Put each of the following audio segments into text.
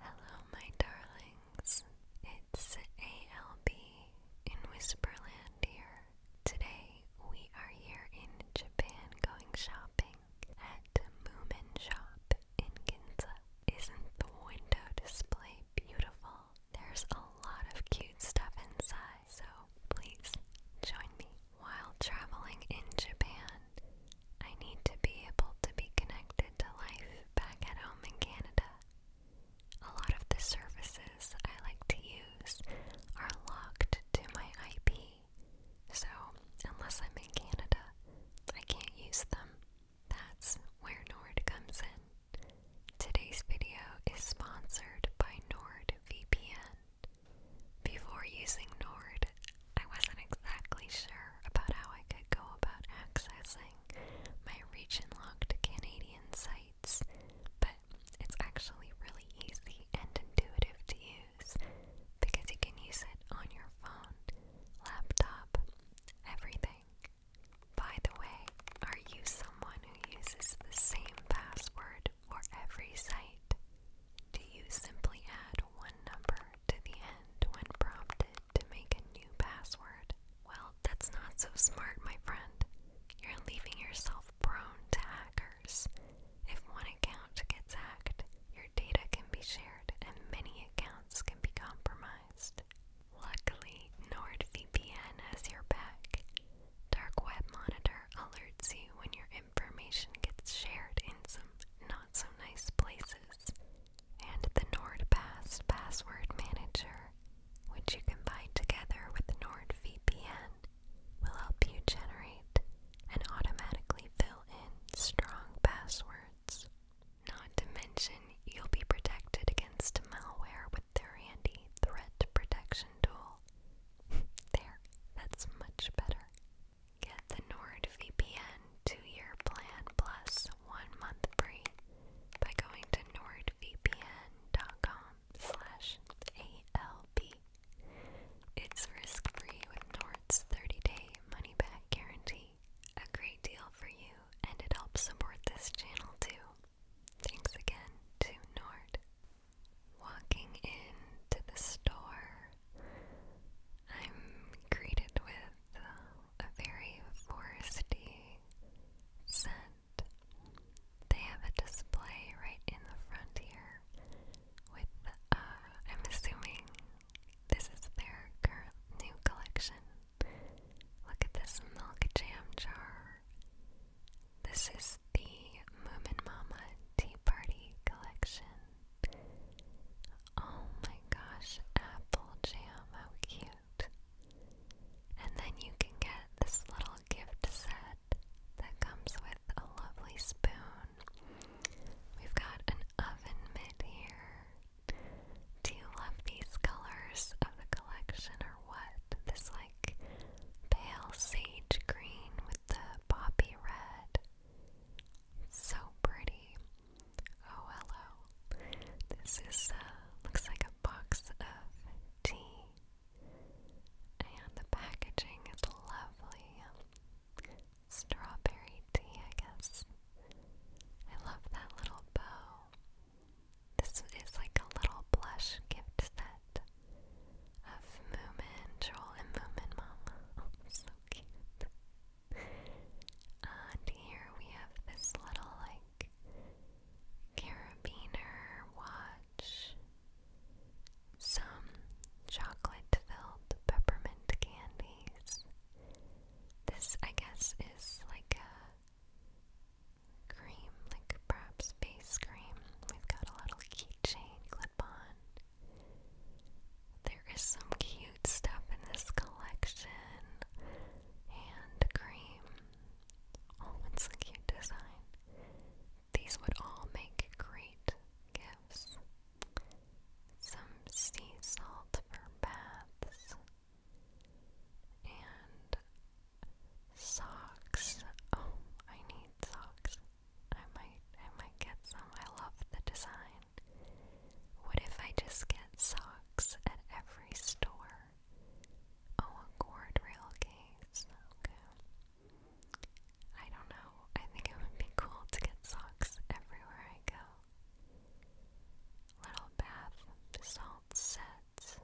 Hello, my darlings. It's ALB in Whisperland here. Today we are here in Japan going shopping at Moomin Shop in Ginza. Isn't the window display beautiful? There's a lot of cute stuff inside, so please join me. While traveling in Japan, I need to be able to be connected to life back at home in Canada. A lot of the services I like to use are locked to my IP, so unless I'm in Canada, I can't use them. That's where Nord comes in. Today's video is sponsored by NordVPN. Before using Nord, I wasn't exactly sure about how I could go about accessing my region locked Canadian sites, but it's actually really easy and intuitive to use because you can use it on your phone, laptop, everything. By the way, are you someone who uses the same password for every site? Do you simply add one number to the end when prompted to make a new password. Well, that's not so smart, my friend. You're leaving yourself prone to hackers. If one account gets hacked, your data can be shared and many accounts can be compromised. Luckily, NordVPN has your back. Dark Web Monitor alerts you when your information gets shared in some not so nice places and the NordPass password manager, which you can buy together with NordVPN, will help you generate and automatically fill in strong passwords. Not to mention, you'll be protected against malware with their handy threat protection tool. there, that's much better. Get the NordVPN two year plan plus one month free by going to nordvpn.com slash ALB. It's risk-free with Nord's 30-day money-back guarantee. A great deal for you, and it helps support this channel too. Thanks again to Nord. Walking into the store, I'm greeted with a very foresty scent. They have a display right in the front here with, uh, I'm assuming this is their new collection. Look at this milk jam jar. This is the Moomin Mama Tea Party collection. Oh my gosh, apple jam, how cute. And then you can get this little gift set that comes with a lovely spoon. We've got an oven mitt here. Do you love these colors of the collection or what? This like pale sage green with the poppy red. So pretty. Oh, This is, uh, looks like a box of tea. And the packaging is lovely. Strawberry tea, I guess. I love that little bow. This is like a little blush gift set of Moomin, Joel, and Moomin so cute. And here we have this little like carabiner watch, some chocolate filled peppermint candies. This, I guess, is like a cream, like perhaps face cream. We've got a little keychain clip on. There is some cute stuff in this collection. Hand cream. Oh, it's a cute design. These would all make great gifts. Some sea salt for baths. And socks. Oh, I need socks. I might I might get some. I love the design. What if I just get socks at every store? Oh, a guardrail case. I don't know. I think it would be cool to get socks everywhere I go. Little bath salt sets.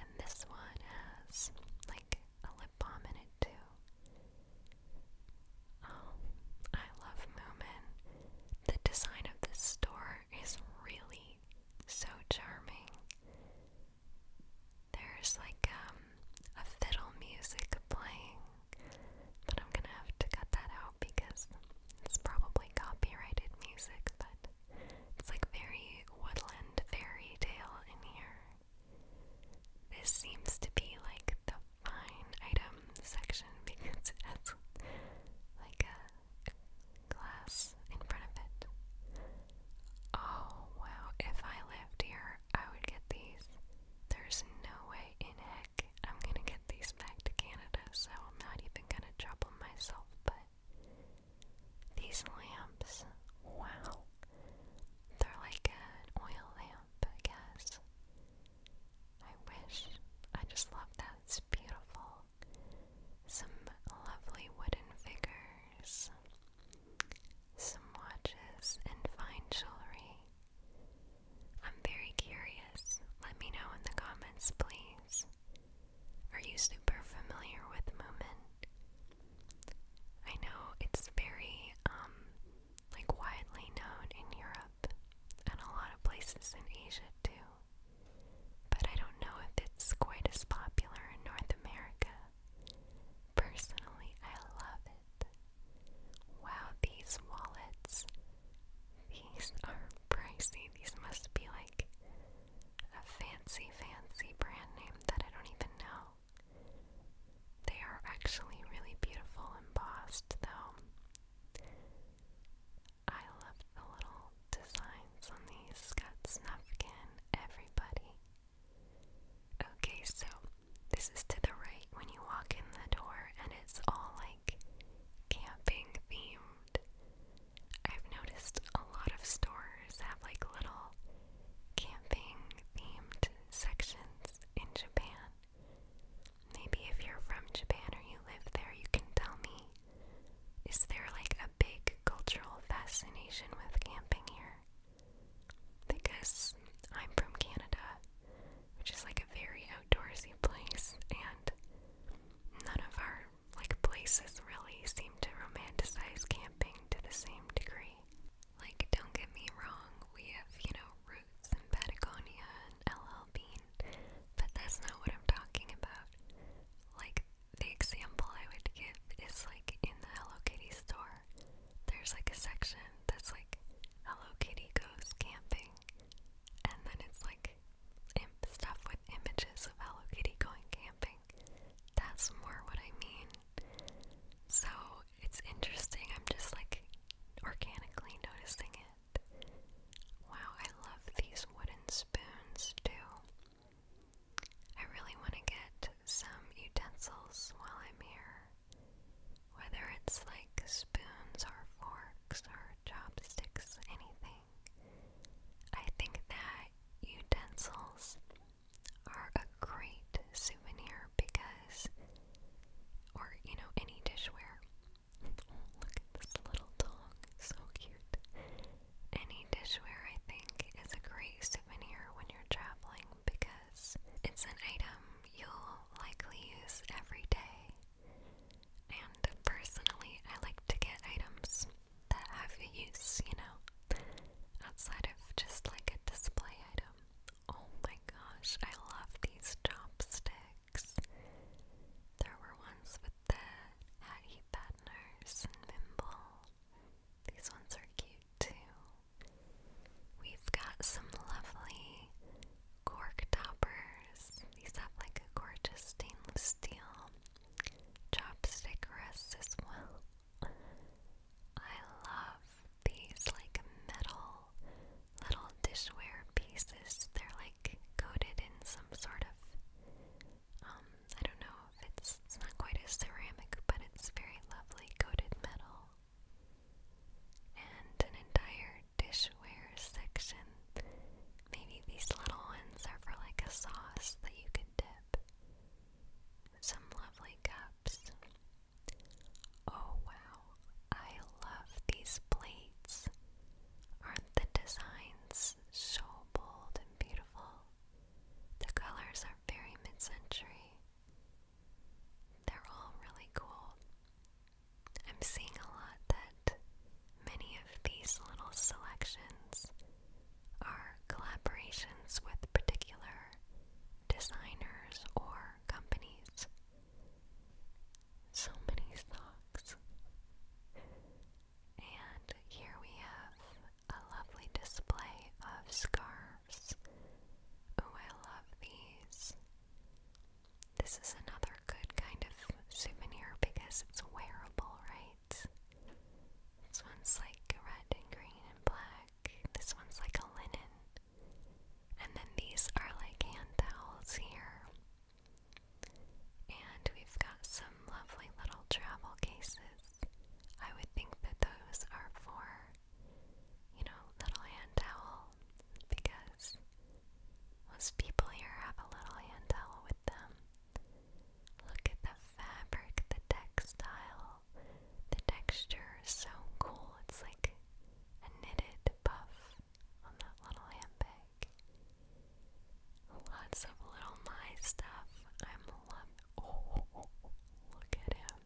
And this one has like a lip balm in it too. Um, I love Moomin. The design of this store is really so charming. There's like um a fiddle music playing, but I'm gonna have to cut that out because it's probably copyrighted music, but it's like very woodland fairy tale in here. This seems to be like the line item section because it like a glass in front of it. Oh wow, if I lived here, I would get these. There's no way in heck I'm gonna get these back to Canada, so I'm not even gonna trouble myself, but these lamps, wow. They're like an oil lamp, I guess. I wish. I just love that. It's beautiful. Some lovely wooden figures, some watches, and fine jewelry. I'm very curious. Let me know in the comments, please. Are you super familiar with Moomin? I know it's very um like widely known in Europe and a lot of places in Asia too. But I don't know if it's quite as popular in North America. Personally, I love it. Wow, these wallets. These are pricey. These must be like a fancy, fancy brand name that I don't even know. They are actually really beautiful embossed, though. I love the little designs on these. Got Snufkin, everybody. Okay, so this is to the right when you walk in the door, and it's all like camping themed. I've noticed a lot of stores have like little camping themed sections in Japan. Maybe if you're from Japan or you live there, you can tell me is there like a big cultural fascination with camping here? Because I'm from Canada, which is like a very outdoorsy place, and none of our like places really seem to romanticize camping to the same degree. Like, don't get me wrong, we have, you know, roots in Patagonia and LL Bean, but that's not what I'm talking about. Like, the example I would give is like in the Hello Kitty store, there's like a section that's like Hello Kitty goes camping, and then it's like imp stuff with images of Hello Kitty going camping. That's more what I mean. So it's interesting, I'm just like organically noticing it. Wow, I love these wooden spoons too. I really want to get some utensils while I'm here. Whether it's like spoons or forks or chopsticks, anything. I think that utensils are a great souvenir because, or you know, any dishware, Oh, look at this little dog. So cute. Any dishware, I think, is a great souvenir when you're traveling because it's an item you'll likely use every day. And personally, I like to get items that have a use, you know, outside of just like a display item. Oh my gosh, I love these chopsticks. There were ones with the Hattie Batteners and Mimble. These ones are cute too. We've got some lovely cork toppers. These have like a gorgeous stainless steel chopstick rest as well. I love these like metal little dishware pieces. They're like coated in some sort of, um, I don't know if it's, it's not quite a ceramic, but it's very lovely coated metal. And an entire dishware section. Maybe these little ones are for like a sauce that you could dip. Some lovely cups. Oh wow, I love these plates. Aren't the designs so bold and beautiful? The colors are very mid century. They're all really cool. I'm seeing a lot that many of these little selections are collaborations with particular designers or companies so many socks. And here we have a lovely display of scarves. Oh, I love these. This is another good kind of souvenir because it's wearable, right? This one's like red and green and black. This one's like a linen. And then these are like hand towels here. And we've got some lovely little travel cases. I would think that those are for, you know, little hand towel because most people here have a little hand towel with them. Look at the fabric, the textile, the texture is so cool. It's like a knitted puff on that little handbag. Lots of little my stuff. I'm loving. Oh, look at him.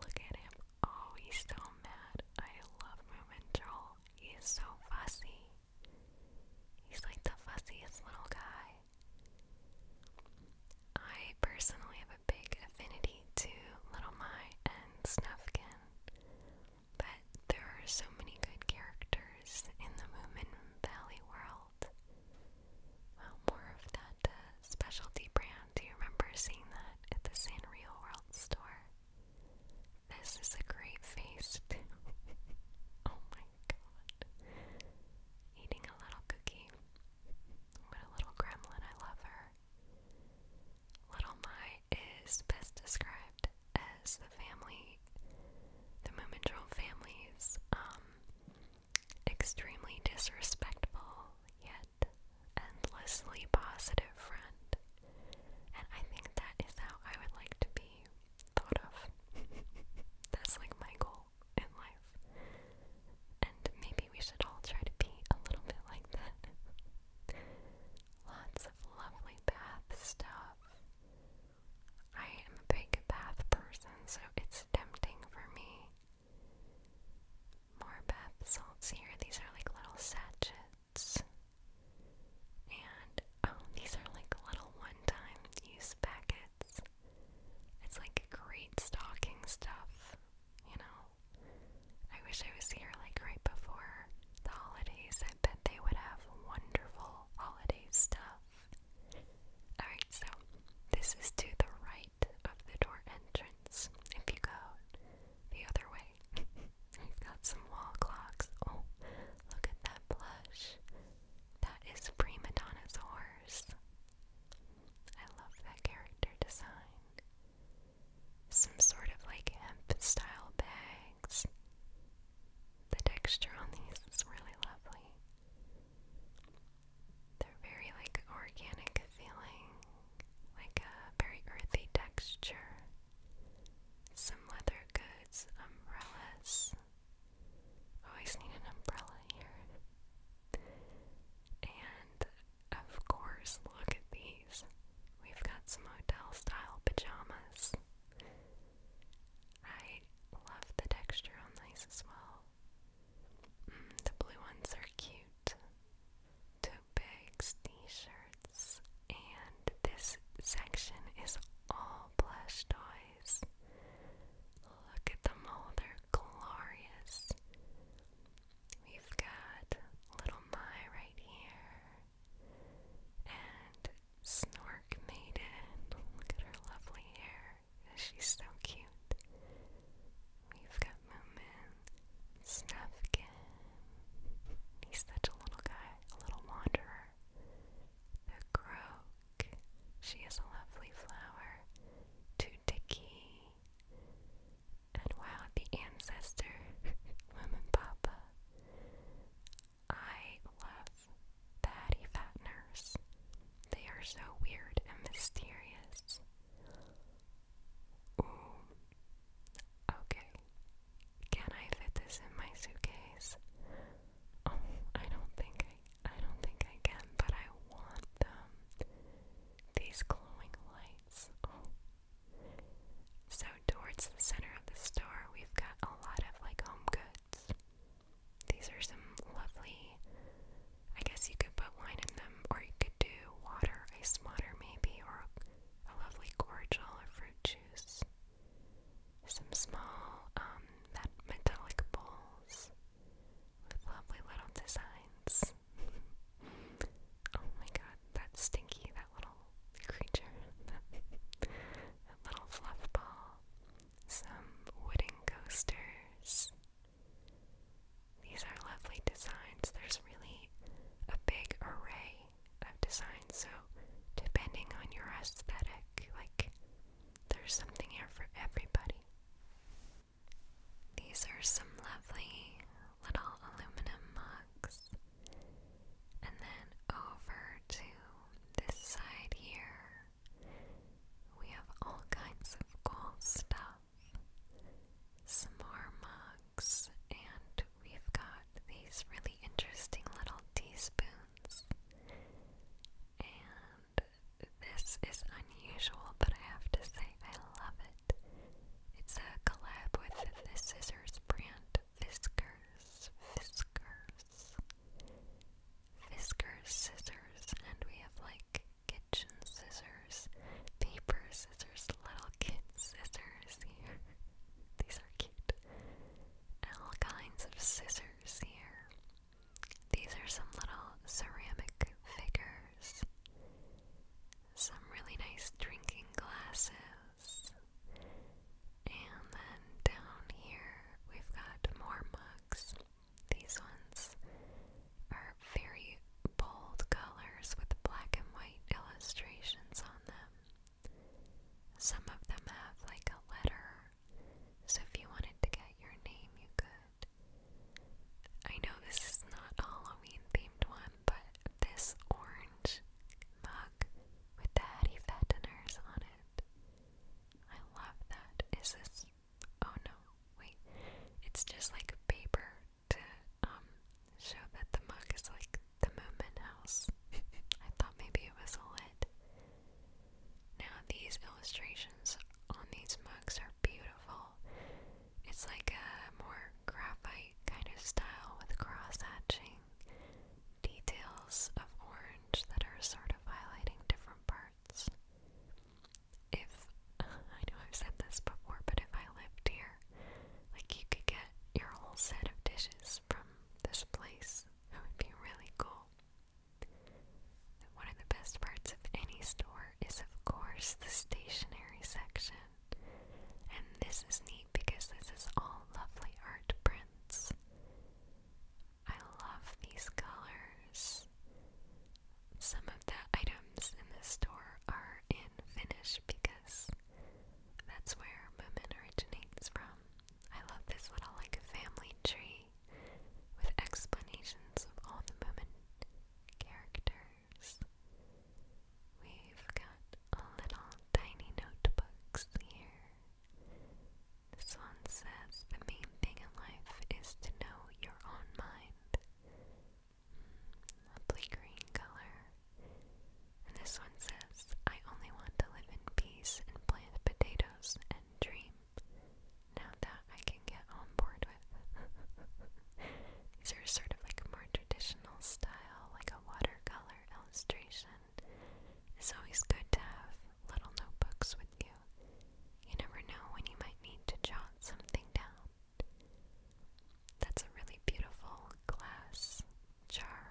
Look at him. Oh, he's so mad. I love Moomin Troll. He so fussy. He's like the fussiest little guy. I personally a big affinity to Little My and Snufkin, but there are so many good characters in the Moomin Valley world. more of that uh, specialty brand. Do you remember seeing that at the Sanrio World store? This is a great feast. oh my god. Eating a little cookie. What a little gremlin, I love her. Little Mai is best described as the family, the Moominjol family's um, extremely disrespectful yet endlessly positive friend. And I think that is how I would like to be thought of. That's like my goal in life. And maybe we should all try to be a little bit like that. Lots of lovely bath stuff. I am a big bath person, so it's tempting for me. More bath salts here. These are like little sachets. And oh, these are like little one time use packets. It's like great stocking stuff you know? I wish I was here like right before the holidays. I bet they would have wonderful holiday stuff. Alright, so this is to the right of the door entrance. If you go the other way, we've got some wall clocks. Oh, look at that plush. That is Prima Donna's horse. I love that character design some sort of like hemp style bags. The texture on these is really lovely. They're very like organic feeling, like a very earthy texture. Some leather goods, umbrellas. Always need an umbrella here. And of course, look at these. We've got some hotel style pajamas. I love the texture on these as well. Mm, the blue ones are cute. Two bags, t shirts, and this section is all plush toys. Look at them all, they're glorious. We've got Little Mai right here. And Snork Maiden. Look at her lovely hair. She's so cute. We've got Moomin. Snufkin. He's such a little guy, a little wanderer. The Croak. She is a lovely flower. Tooticky. And while the ancestor, woman papa, I love the Hattie They are so weird and mysterious. Ooh. Okay. Can I fit this in my suitcase? Oh, I don't think I I don't think I can, but I want them these glowing lights. Oh. So, towards the center of the store, we've got a lot of like home goods. These are some lovely, I guess you could put wine in them, or you could do water, ice water maybe, or a lovely cordial or fruit juice. Some small, um, metallic bowls with lovely little designs. Oh my god, that's stinky, that little creature. that little fluff ball. Some wooden coasters. These are lovely designs. There's really a big array of designs, so depending on your aesthetic, like, there's something here for everybody. These are some lovely little aluminum mugs. And then over to this side here, we have all kinds of cool stuff. Some more mugs, and we've got these really interesting little teaspoons. And this is unusual, but I have to say I love it. It's a collab with the scissors brand Fiskars, Fiskars, Fiskars scissors, and we have like kitchen scissors, paper scissors, little kid scissors here. These are cute. And all kinds of scissors here. These are some little ceramic figure some really nice drinking glasses, and then down here we've got more mugs. These ones are very bold colors with black and white illustrations on them. Some of them have like a letter, so if you wanted to get your name, you could. I know this is not Halloween themed one, but this orange mug with the Hattie Fatteners on it. I love that. Is this oh no, wait. It's just like paper to um show that the mug is like the Moomin House. I thought maybe it was a Now these illustrations on these mugs are beautiful. It's like a more graphite kind of style with cross hatching, details of orange that are sort of highlighting different parts. If I know I've said this before, but if I lived here, like you could get your whole set of dishes from this place, that would be really cool. One of the best parts of any store is, of course, the stationery section. And this is neat because this is all lovely art prints. I love these colors. Some of the items in this store are in Finnish because that's where Moomin originates from. I love this little like family tree with explanations of all the Moomin characters. We've got little tiny notebooks here. This one says the main thing in life is to know your own mind. Mm, lovely green color. this one says, I only want to live in peace and plant potatoes and dream. Now that I can get on board These are sort of like a more traditional style, like a watercolor illustration. It's always good to have little notebooks with you. You never know when you might need to jot something down. That's a really beautiful glass jar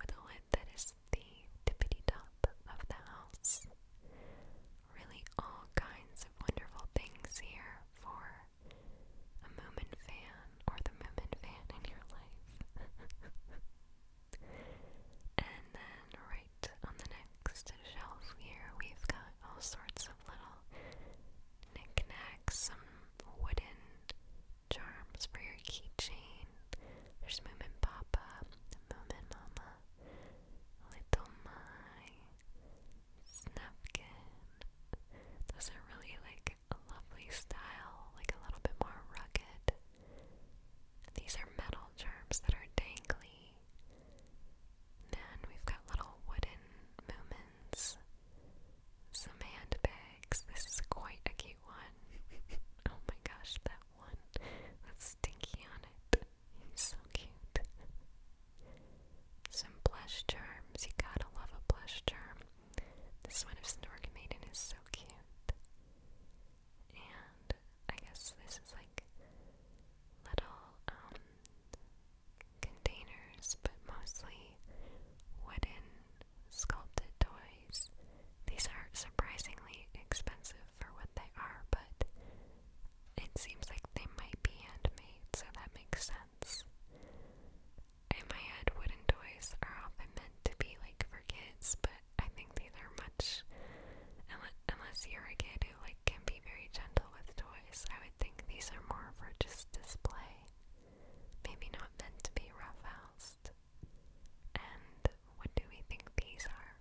with a lid that is the tippity top of the house. Really, all kinds of wonderful things here for a Moomin fan or the Moomin fan in your life. and then right on the next shelf here, we've got all sorts of little knickknacks, some wooden charms for your keychain. There's Moomin Papa, Moomin Mama, Little My, snapkin. Those are really like a lovely style, like a little bit more rugged. These are metal charms that are dangly. Then we've got little wooden moments. Some handbags. This is quite a cute one. oh my gosh, that one. That's stinky on it so cute. Some plush charms. You gotta love a plush charm. This one of Snork Maiden is so cute. And I guess this is like little um, containers, but mostly wooden sculpted toys. These are surprisingly expensive for what they are, but it seems like they might be handmade, so that makes sense. In my head, wooden toys are often meant to be like for kids, but I think these are much. Unless you're a kid who like can be very gentle with toys, I would think these are more for just display. Maybe not meant to be roughhoused. And what do we think these are?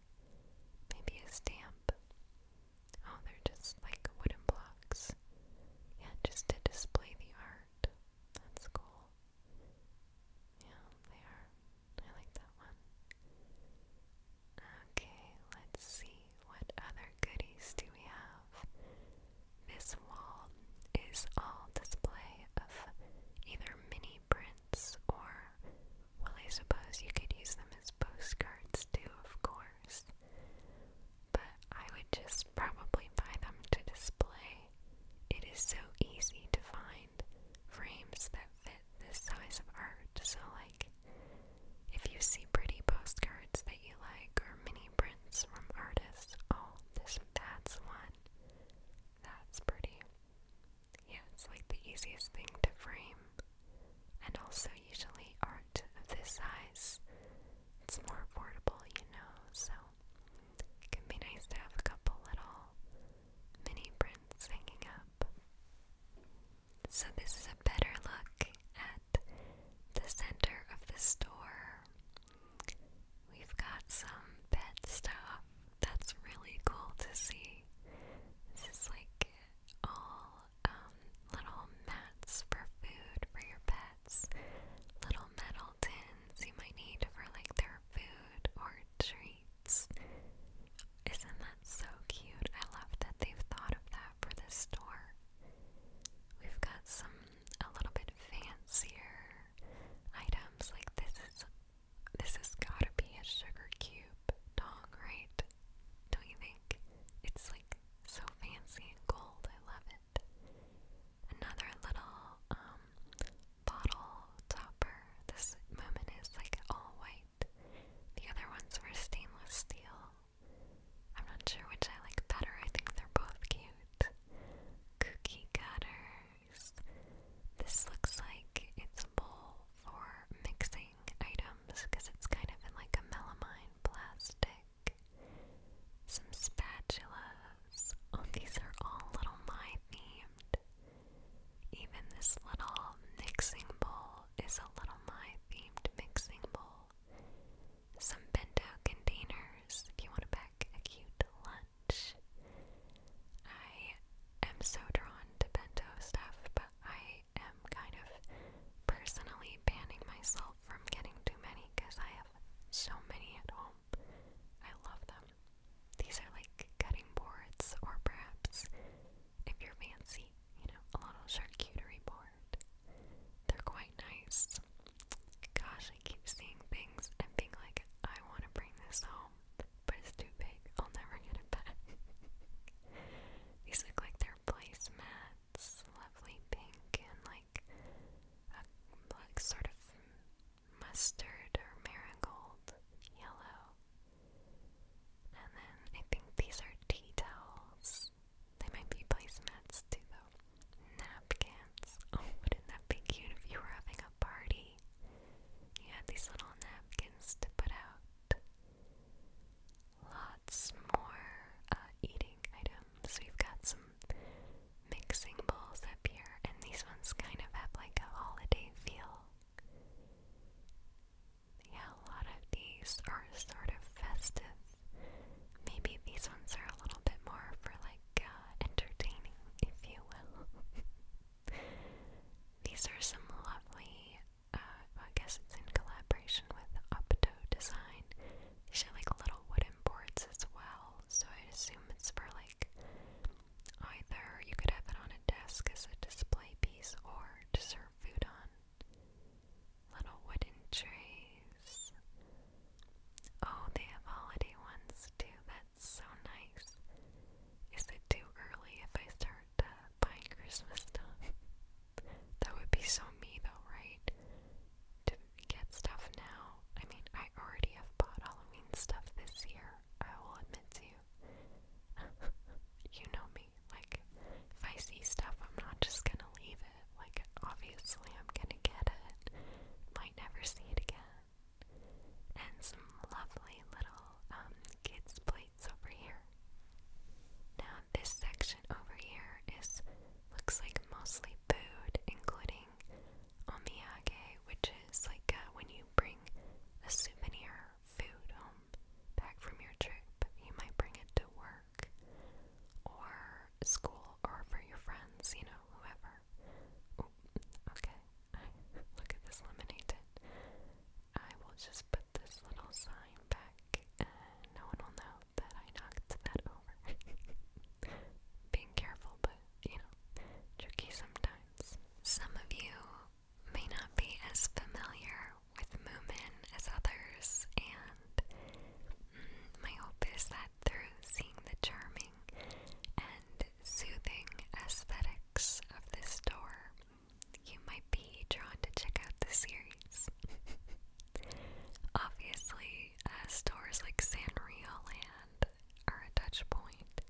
Maybe a stamp. Oh, they're just like wooden blocks. Yeah, just to display the art. That's cool. Yeah, they are. I like that one. Okay, let's see what other goodies do we have. This wall is all display of either mini prints or, well, I suppose you could use them as postcards too, of course but I would just probably buy them to display. It is so easy to find frames that fit this size of art, so, like, if you see pretty postcards that you like or mini prints from artists, oh, this that's one. That's pretty. Yeah, it's like the easiest thing to frame and also usually aren't of this size. It's more affordable, you know, so can be nice to have a couple little mini prints hanging up. So, this is a better look at the center of the store. We've got some pet stuff that's really cool to see. This is like all um, little mats for food for your pets, little metal tins you might need for like their food or treats. Isn't that so cute? I love that they've thought of that for this store. We've got some a little bit fancier items like this is this has gotta be a sugar cube dog, right? Don't you think? It's like so fancy and gold, I love it. Another little um, bottle topper. This moment is like all white. The other ones were stainless steel. I'm not sure which I like better. I think they're both cute. Cookie cutters. This looks like it's a bowl for mixing items because it's kind of in like a melamine plastic. Some spatulas. Oh, these are all Little My themed. Even this little mixing bowl is a Little My themed mixing bowl. Some bento containers if you want to pack a cute lunch. I am so drawn to bento stuff, but I am kind of personally banning myself from getting too many because I have so many at home. I love them. These are like cutting boards, or perhaps, if you're fancy, you know, a little charcuterie board. They're quite nice. Gosh, I keep seeing things and being like, I want to bring this home, but it's too big. I'll never get it back. These look like they placemat lovely pink and like a like sort of mustard or marigold yellow. And then I think these are tea towels. They might be placemats too though. Napkins. wouldn't that be cute if you were having a party? You had these little napkins to put out lots more uh, eating items. We've got some mixing bowls up here, and these ones kind of have like a holiday feel. Yeah, a lot of these are sort of festive. Maybe these ones are a little bit more for like uh, entertaining, if you will. these are some lovely uh, I guess it's in collaboration with Opto Design. These are like little wooden boards as well, so I assume it's for like either you could have it on a desk as a display piece or to serve food on. Little wooden trays. Oh, they have holiday ones too. That's so nice. Is it too early if I start uh, buying Christmas stuff. that would be so me though, right? get stuff now. I mean, I already have bought Halloween stuff this year, I will admit to you. you know me. Like, if I see stuff, I'm not just gonna leave it. Like, obviously, I'm gonna get it. Might never see it again. And some lovely little um, kids' play lights over here. Now this section over here is looks like mostly food, including omiyage, which is like uh, when you bring a souvenir food home back from your trip. You might bring it to work or school or for your friends, you know, whoever. okay, look at this lemonade. I will just put this little sign back and no one will know that I knocked that over. Being careful, but you know, tricky sometimes. Some of you may not be as familiar with Moomin as others, and mm, my hope is that through seeing the charming and soothing aesthetics of this door, you might be drawn to check out the series. Obviously, uh, stores like Sanrio Land are a touch point.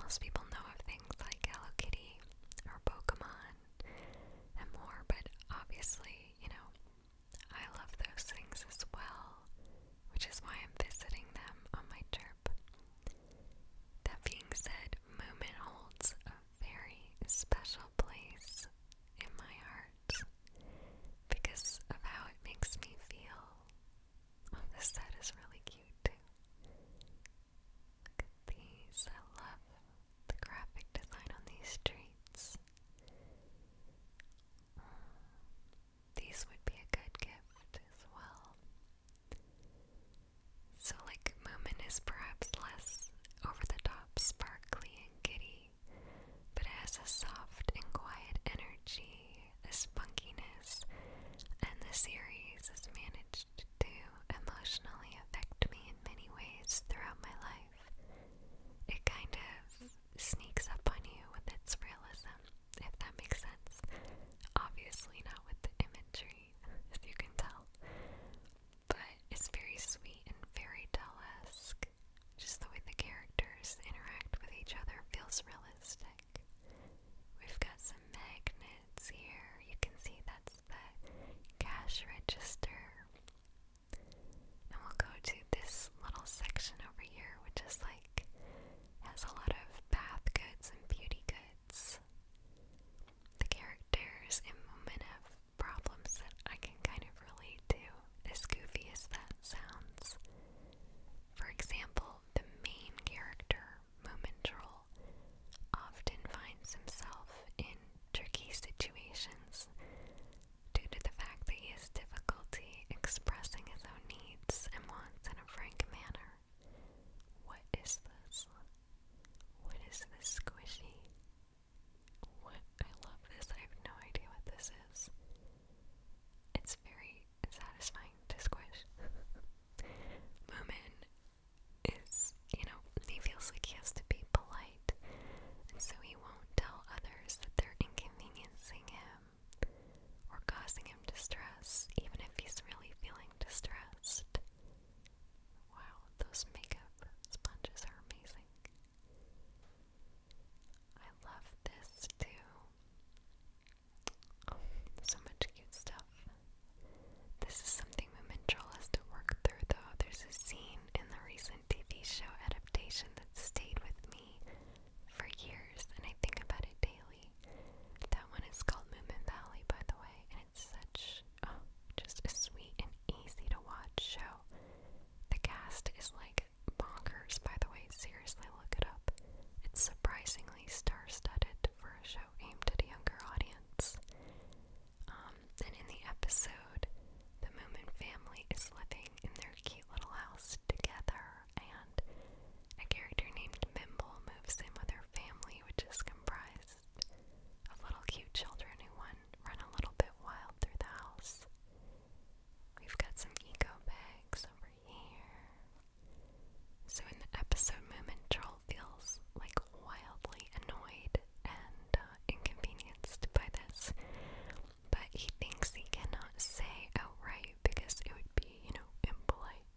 Most people know of things like Hello Kitty or Pokemon and more, but obviously, you know, I love those things as well, which is why I'm visiting them on my trip. That being said, Moomin holds very special place in my heart because of how it makes me feel. Oh, this set is really cute too. Look at these. I love the graphic design on these treats. these would be a good gift as well. So, like, Moomin is perhaps less over the top, sparkly, and giddy, but it has a soft and quiet energy, a spunkiness, and the series has managed to emotionally affect me in many ways throughout my life. It kind of sneaks up on you with its realism, if that makes sense. Obviously, not with the imagery, as you can tell but it's very sweet and fairy tale esque. Just the way the characters interact with each other feels realistic. We've got some magnets here. You can see that's the cash register. And we'll go to this little section over here, which is like has a lot of bath goods and beauty goods. The characters in Momentum problems that I can kind of relate to, as goofy as that sounds. For example, the main character, Moomin often finds himself in tricky situations due to the fact that he has difficulty expressing his own needs and wants in a frank manner. What is this? What is this squishy? What? I love this. I have no idea what this is. It's very satisfying to squish. Moomin is, you know, he feels like he has to be polite, and so he won't tell others that they're inconveniencing him or causing him distress, even if he's really feeling distressed. Wow, those makeup sponges are amazing. I love this too. so much cute stuff. This is something Moomin has to work through though. There's a scene in the recent TV show adaptation that stayed with me for years and I think about it daily. That one is called Moomin Valley by the way and it's such Oh, just a sweet and easy to watch show. The cast is like bonkers, by the way. Seriously, look it up. It's surprisingly star studded for a show aimed at a younger audience. Um, and in the episode, the Moomin family is living in their cute little house together, and a character named Mimble moves in with her family, which is comprised of little cute children who run, run a little bit wild through the house. We've got some eco bags over here. So in the episode moment, Troll feels like wildly annoyed and uh, inconvenienced by this, but he thinks he cannot say outright because it would be, you know, impolite.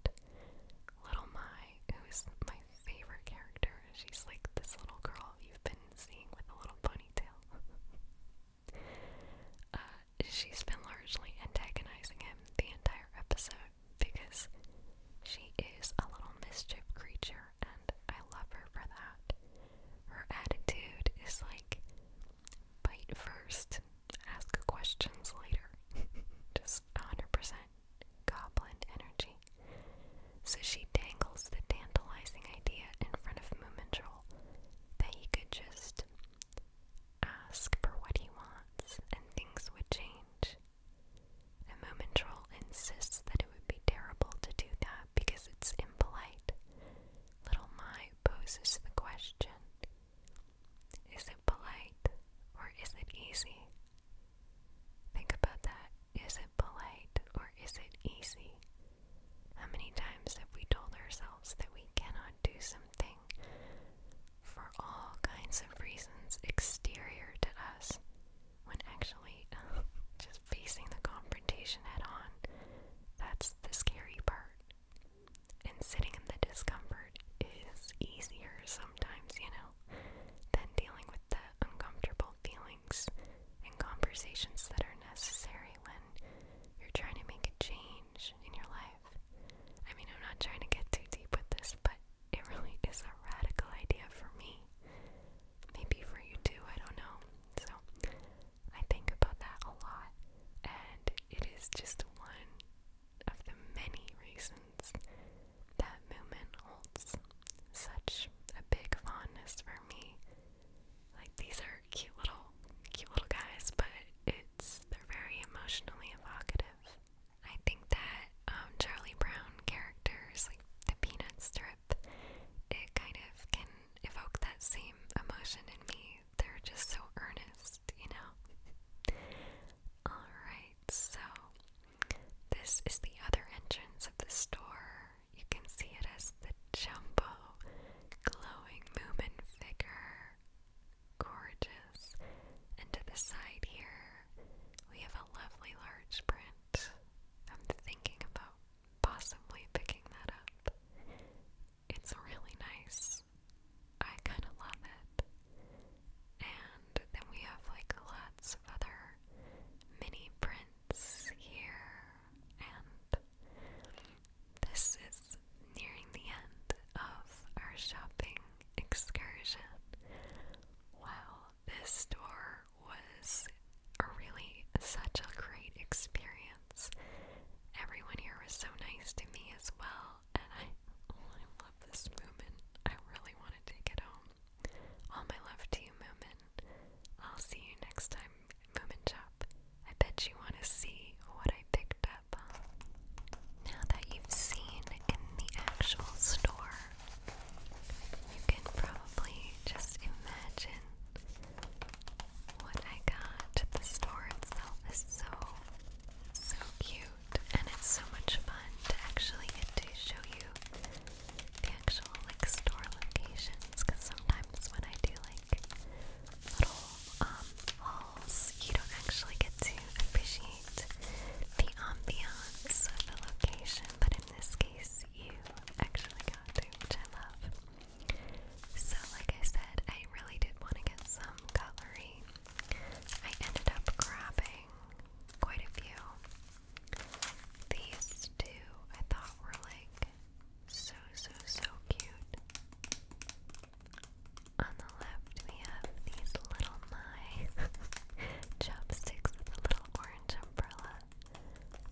Little My, who's my favorite character. She's like this little girl you've been seeing with a little ponytail. uh, she's been largely antagonizing him the entire episode because she is a little mischief creature and I love her for that. Her attitude is like bite first, ask questions later. Just 100% goblin energy. So she dangles the tantalizing idea in front of Moomintrol that he could just ask for what he wants and things would change. And Moomintrol insists that it would be terrible to do that because it's impolite. Little Mai poses the question Is it polite or is it easy? Think about that. Is it polite or is it easy? How many times have we told ourselves that we cannot do something for all kinds of reasons exterior to us when actually um, just facing the confrontation head on? That's the scary part. And sitting in the discomfort is easier sometimes, you know? than dealing with the uncomfortable feelings and conversations that are necessary when you're trying to make a change in your life. I mean, I'm not trying to get too deep with this, but it really is a radical idea for me. Maybe for you too, I don't know. So, I think about that a lot, and it is just one of the many reasons that movement holds such a big fondness for me. Like these are cute little cute little guys, but it's they're very emotionally evocative. I think that um Charlie Brown characters like the Peanuts strip, it kind of can evoke that same emotion in me. They're just so earnest, you know. Alright, so this is the other entrance of the store. You can see it as the jumbo, glowing Moomin figure. Gorgeous. And to the side here, we have a lovely large print. I'm thinking about possibly picking that up. It's really nice. I kind of love it. And then we have like lots of other mini prints here. And this is nearing the end of our shopping excursion. Wow, this store was really such a great experience. Everyone here was so nice to me as well, and I, I love this movement. I really want to take it home. All my love to you, Moomin. I'll see you next time, Moomin I bet you want to see what I picked up. Now that you've seen in the actual store, you can probably just imagine what I got. The store itself is so, so cute, and it's so much fun to actually get to show you the actual like store locations because sometimes when I do like little um hauls, you don't actually get to appreciate the ambiance of the location, but in this case, you actually got to, love. So, like I said, I really did want to get some cutlery. I ended up grabbing quite a few. These two I thought were like so, so, so cute. On the left, we have these little knife chopsticks with a little orange umbrella.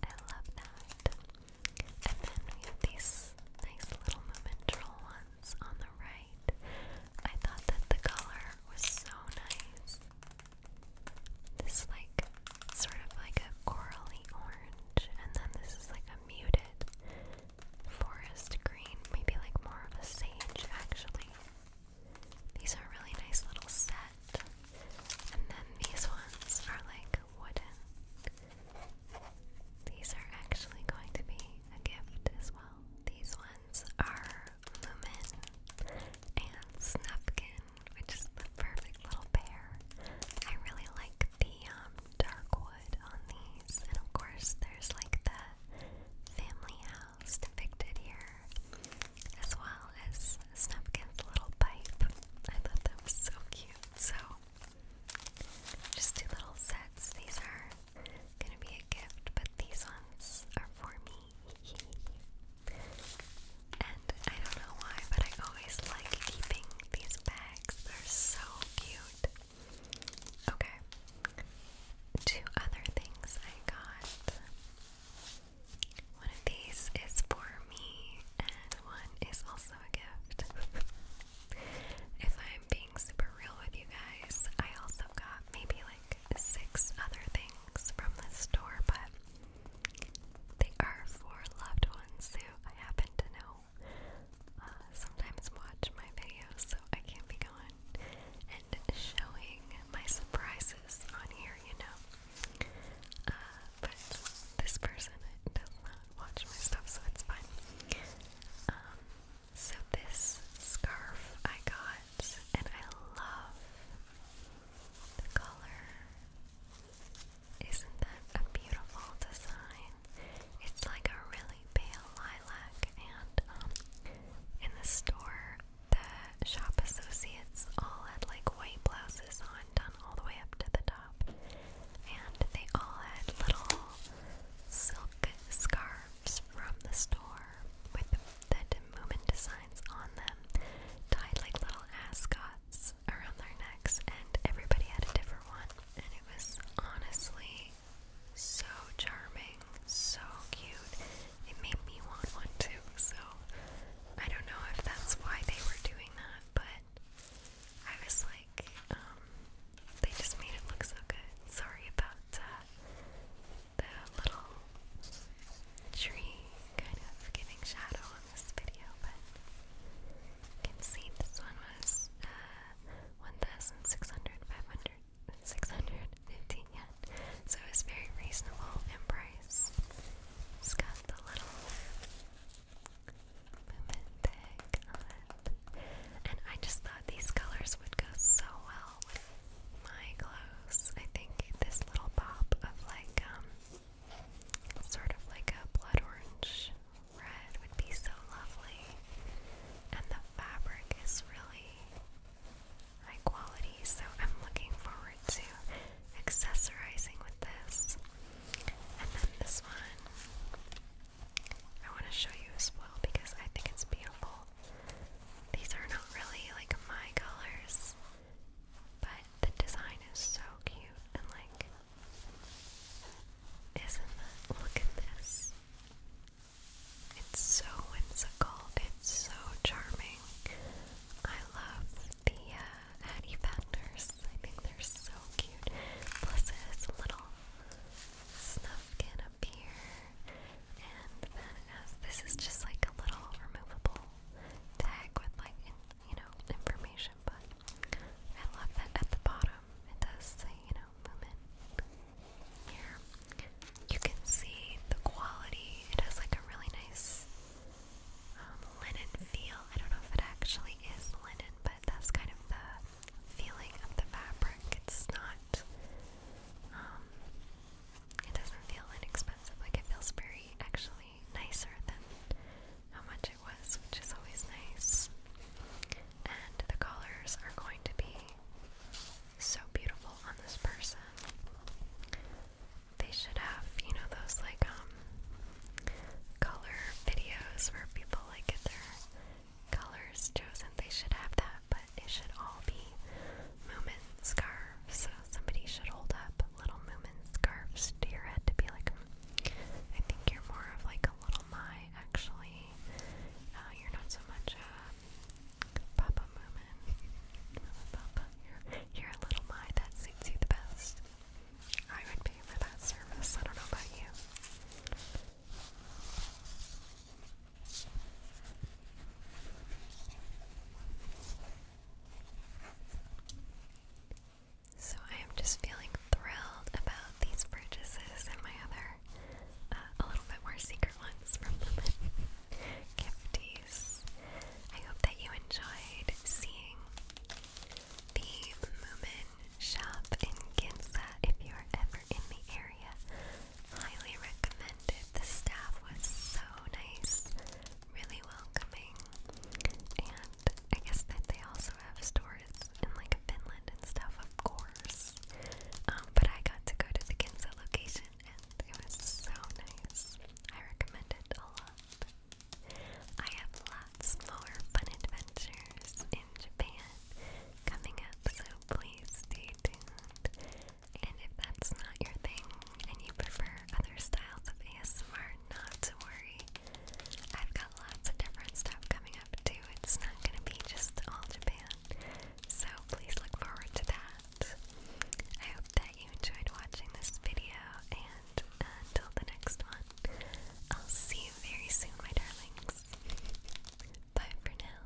I love that. And then we have these nice little momental ones on the right. I thought that the color was so nice. This like sort of like a corally orange, and then this is like a muted forest green, maybe like more of a sage actually. These are a really nice little set. And then these ones are like wooden. These are actually going to be a gift as well. These ones are Lumen and Snufkin, which is the perfect little pair. I really like the um, dark wood on these, and of course, there's like the family house depicted here, as well as Snufkin's little pipe. I thought that was so cute. So, just two little sets. These are gonna be a gift, but these ones are for me. And I don't know why, but I always like keeping these bags. They're so cute. Okay. Two other things I got. One of these is for me, and one is also a gift. if I'm being super real with you guys, I also got maybe like six other things from the store, but they are for loved ones who I happen to know uh, sometimes watch my videos, so I can't be gone and showing my surprises on here, you know. Uh, but this person does not watch my stuff, so it's fine. Um, so this scarf I got, and I love the color. Isn't that a beautiful design? It's like a really pale lilac, and um, in the store, the shop associates all had like white blouses on, done all the way up to the top, and they all had little silk scarves from the store with the, the Moomin designs on them, tied like little ascots around their necks, and everybody had a different one. And it was honestly so charming, so cute. It made me want one too, so I don't know if that's why they were doing that, but I was like, um, they just made it look so good. Sorry about uh, the little tree kind of giving shadow on this video, but you can see this one was uh, 1,600, 500, 650 yen. So it was very reasonable in price. It's got the little movement tag on it. And I just thought these colors would go so well my clothes. I think this little pop of like um sort of like a blood orange red would be so lovely. And the fabric is really high quality, so I'm looking forward to accessorizing with this. And then this one I want to show you as well because I think it's beautiful. These are not really like my colors, but the design is so cute and like, isn't that? Look at this. It's so whimsical, it's so charming. I love the uh, Addie I think they're so cute. Plus, this little snuff up here. And then as this is just like a little removable tag with like in, you know information, but I love that at the bottom it does say you know movement. Here you can see the quality. It has like a really nice um, linen feel. I don't know if it actually is linen, but that's kind of the feeling of the fabric. It's not. Um, it doesn't feel inexpensive. Like it feels very actually nicer than how much it was, which is always nice. And the colors are going to be so beautiful on this person. They should have, you know, those like um color videos where people like get their colors chosen. They should have that but it should all be Moomin scarves. So somebody should hold up little Moomin scarves to your head to be like, I think you're more of like a little Mai, actually. Uh, you're not so much a Papa Moomin. you're, a little Mai that suits you the best. I would pay for that service. I don't know about you. So I am just feeling thrilled about these purchases and my other, uh, a little bit more secret ones from Lumen Gifties. I hope that you enjoyed seeing the Lumen shop in Ginza if you're ever in the area. Highly recommended. The staff was so nice, really welcoming, and I guess that they also have stores in like Finland and stuff, of course. Um, but I got to go to the Ginza location, and it was so nice. I recommend it a lot. I have lots more fun adventures in Japan coming up, so please stay tuned. And if that's not your thing and you prefer other styles of ASMR, not to worry. I've got lots of different stuff coming up too. It's not going to be just all Japan. So please look forward to that. I hope that you enjoyed watching this video and until the next one, I'll see you very soon, my darlings. Bye for now.